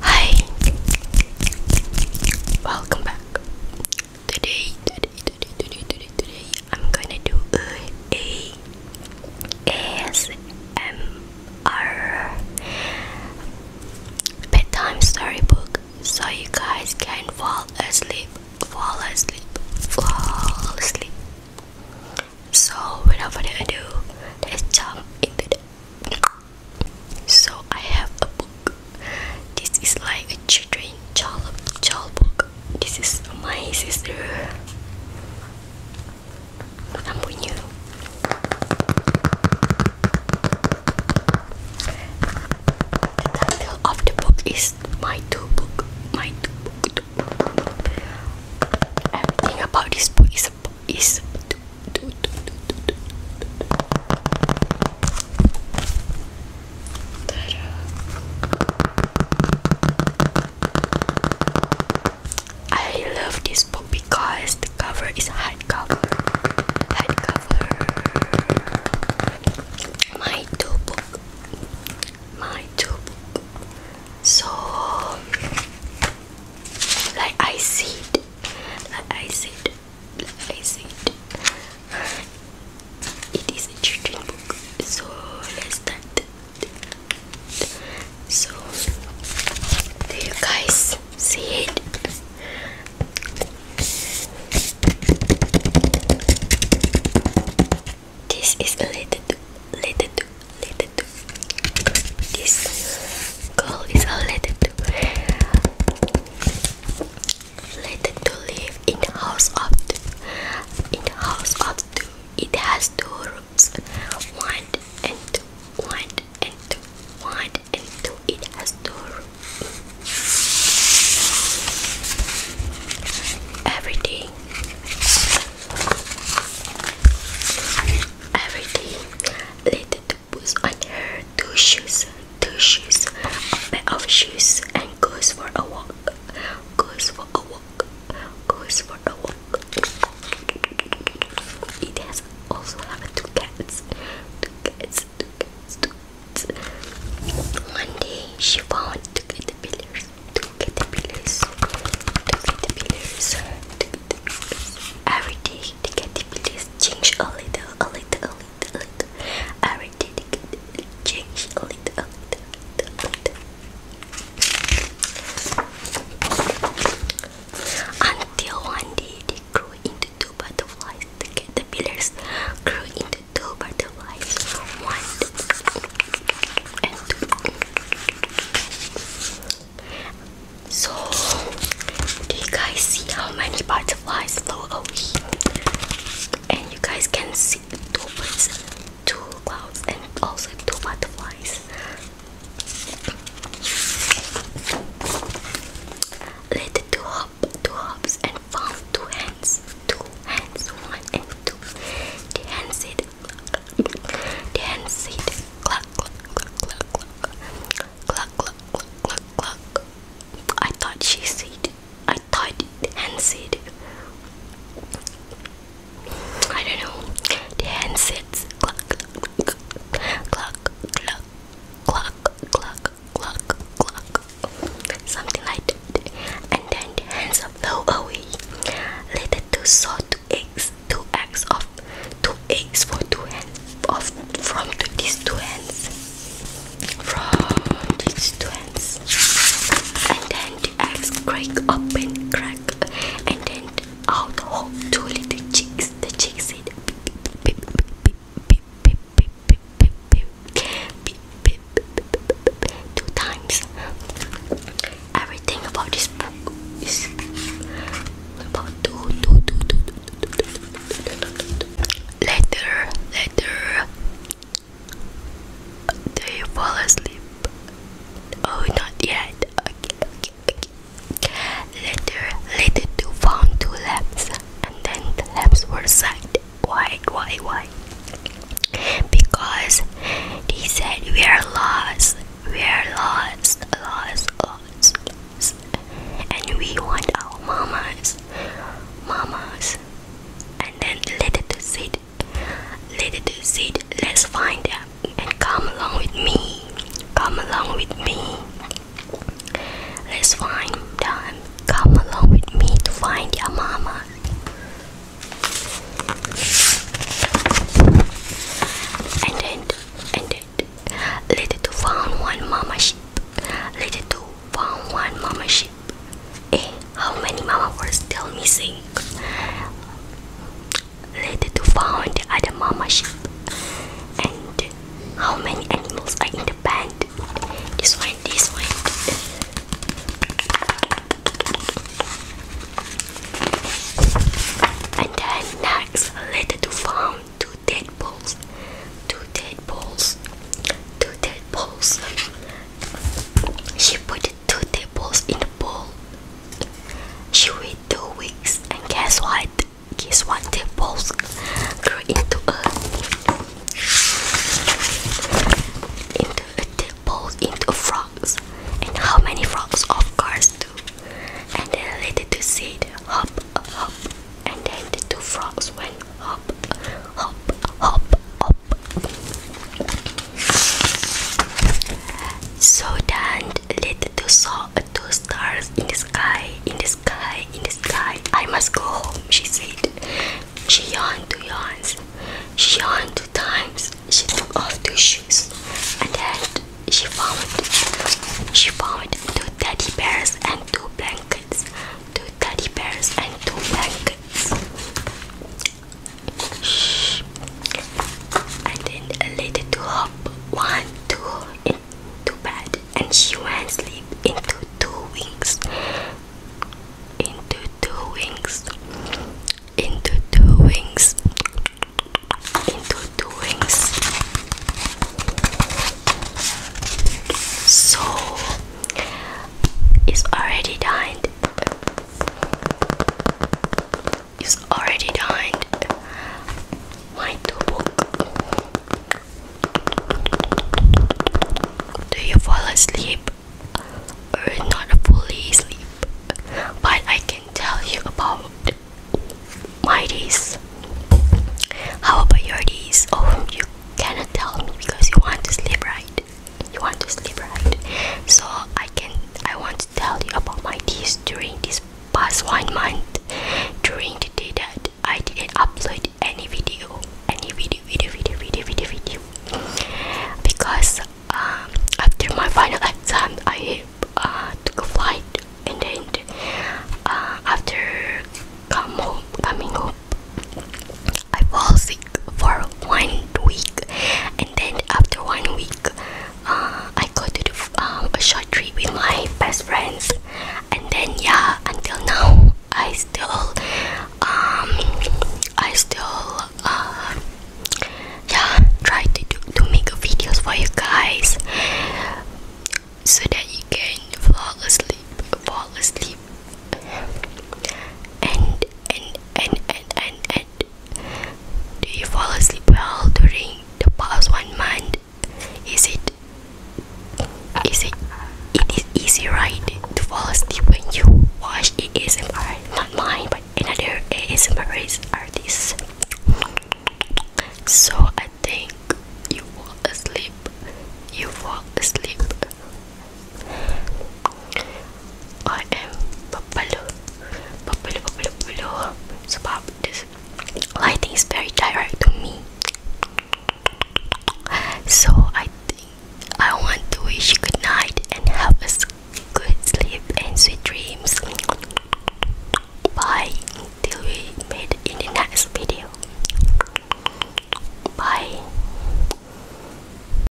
Hi, welcome back. Today, today, today, today, today, today, I'm gonna do a, a ASMR bedtime storybook so you guys can fall asleep, fall asleep, fall asleep. So, without further ado, let's jump into the so I have a book. This is like a children child book. This is my sister. I'm punya. The title of the book is My Two Book. My Two Book. Everything about this book is is is I love this book because the cover is hardcover. Hardcover. My two book. My two book. So like I see it, like I see it, like I see it. Uh, it is a children's so let's start. So, do you guys see it? This is related to, related to, related to. This goal is related to, related to live in the house of two. In the house of two, it has two rooms, one and two, one and two, one and two. It has two rooms. Everything. Everything related was on her two shoes, two shoes, a pair of shoes, and goes for a walk, goes for a walk, goes for a walk. It has also have two cats, two cats, two cats, two cats. One day she found two caterpillars caterpillars, the caterpillars, the caterpillars. Every day the caterpillars change a little, a little, a little, a little. Every day the caterpillars change a little, a little, a little, a little. Until one day they grew into two butterflies. The caterpillars grew into two butterflies. One and two. So, do you guys see how many butterflies flew away? And you guys can see two birds, two clouds, and also two butterflies. Let the two hop, two hops, and found two hands hands, two hands, one and two. The hands it, the hands it, cluck, cluck, cluck, cluck, cluck, cluck, cluck, cluck, cluck. I thought she said, I thought the hand said, I don't know, the hand says, cluck, cluck, cluck, cluck, cluck, cluck, cluck, cluck, something like that, and then the hands blow away. Later, two saw two eggs, two eggs of two eggs for two hands of from these two hands, from these two hands, and then the eggs crack open, crack, and then out of two little chicks. The chicks said, beep, beep, beep, beep, beep, two times. Everything about this book is about two, two, two, two, two. Later, later, do you fall asleep? Oh, not yet. Okay, okay, okay. Later, later, two found two lamps, and then the lamps were signed. Why, why, why? Because they said we are lost, we are lost, lost, lost, and we want our mamas, mamas, and then let it sit, let it sit. Let's find them and come along with me, come along with me. Let's find them. Come along with me to find your mama. And then, and then, little two found one mama sheep. Little to found one mama sheep. Eh, how many mama were still missing? Later to found the other mama sheep. And how many animals are in the? the This one, this one. And then next, later to found two tadpoles. Two tadpoles. Two tadpoles. She put two tadpoles in the bowl. She waited two weeks, and guess what? and guess what? They both grew into a into a they both into frogs. And how many frogs of course do? And then later to see it hop hop and then the two frogs went hop hop hop hop so then later to saw two stars in the sky, in the sky, in the sky. I must go home, she said. She yawned two yawns. She yawned two times. She took off two shoes. And then she found she found two teddy bears and two blankets. Two teddy bears and two blankets. And then a lady to hop. One, two to bed and she went sleep into two weeks into two weeks into two weeks into two weeks so it's already done is already dined. My tobok. Do you fall asleep? Or not fully asleep? But I can tell you about my days. How about your days? Oh, you cannot tell me because you want to sleep, right? You want to sleep, right? So I can. I want to tell you about my days during this past one month during the day that I didn't upload any video any video video video video video because um, after my final exam I uh, took a flight and then uh, after come home, coming home I fall sick for one week and then after one week uh, I go to the, um, a short trip with my best friends, and then yeah, until now I still um I still uh yeah try to do, to make videos for you guys so that you can fall asleep fall asleep and and and and and and, and do you fall asleep well during the past one month? Is it is it it is easy right to fall asleep when you watch ASMR not mine but another ASMR artist so I think you fall asleep you fall asleep I am Papalu. Papalu, Papalu, Papalu. So, about this lighting is very direct to me. So, I think I want to wish you good night and have a good sleep and sweet dreams. Bye till we meet in the next video. Bye.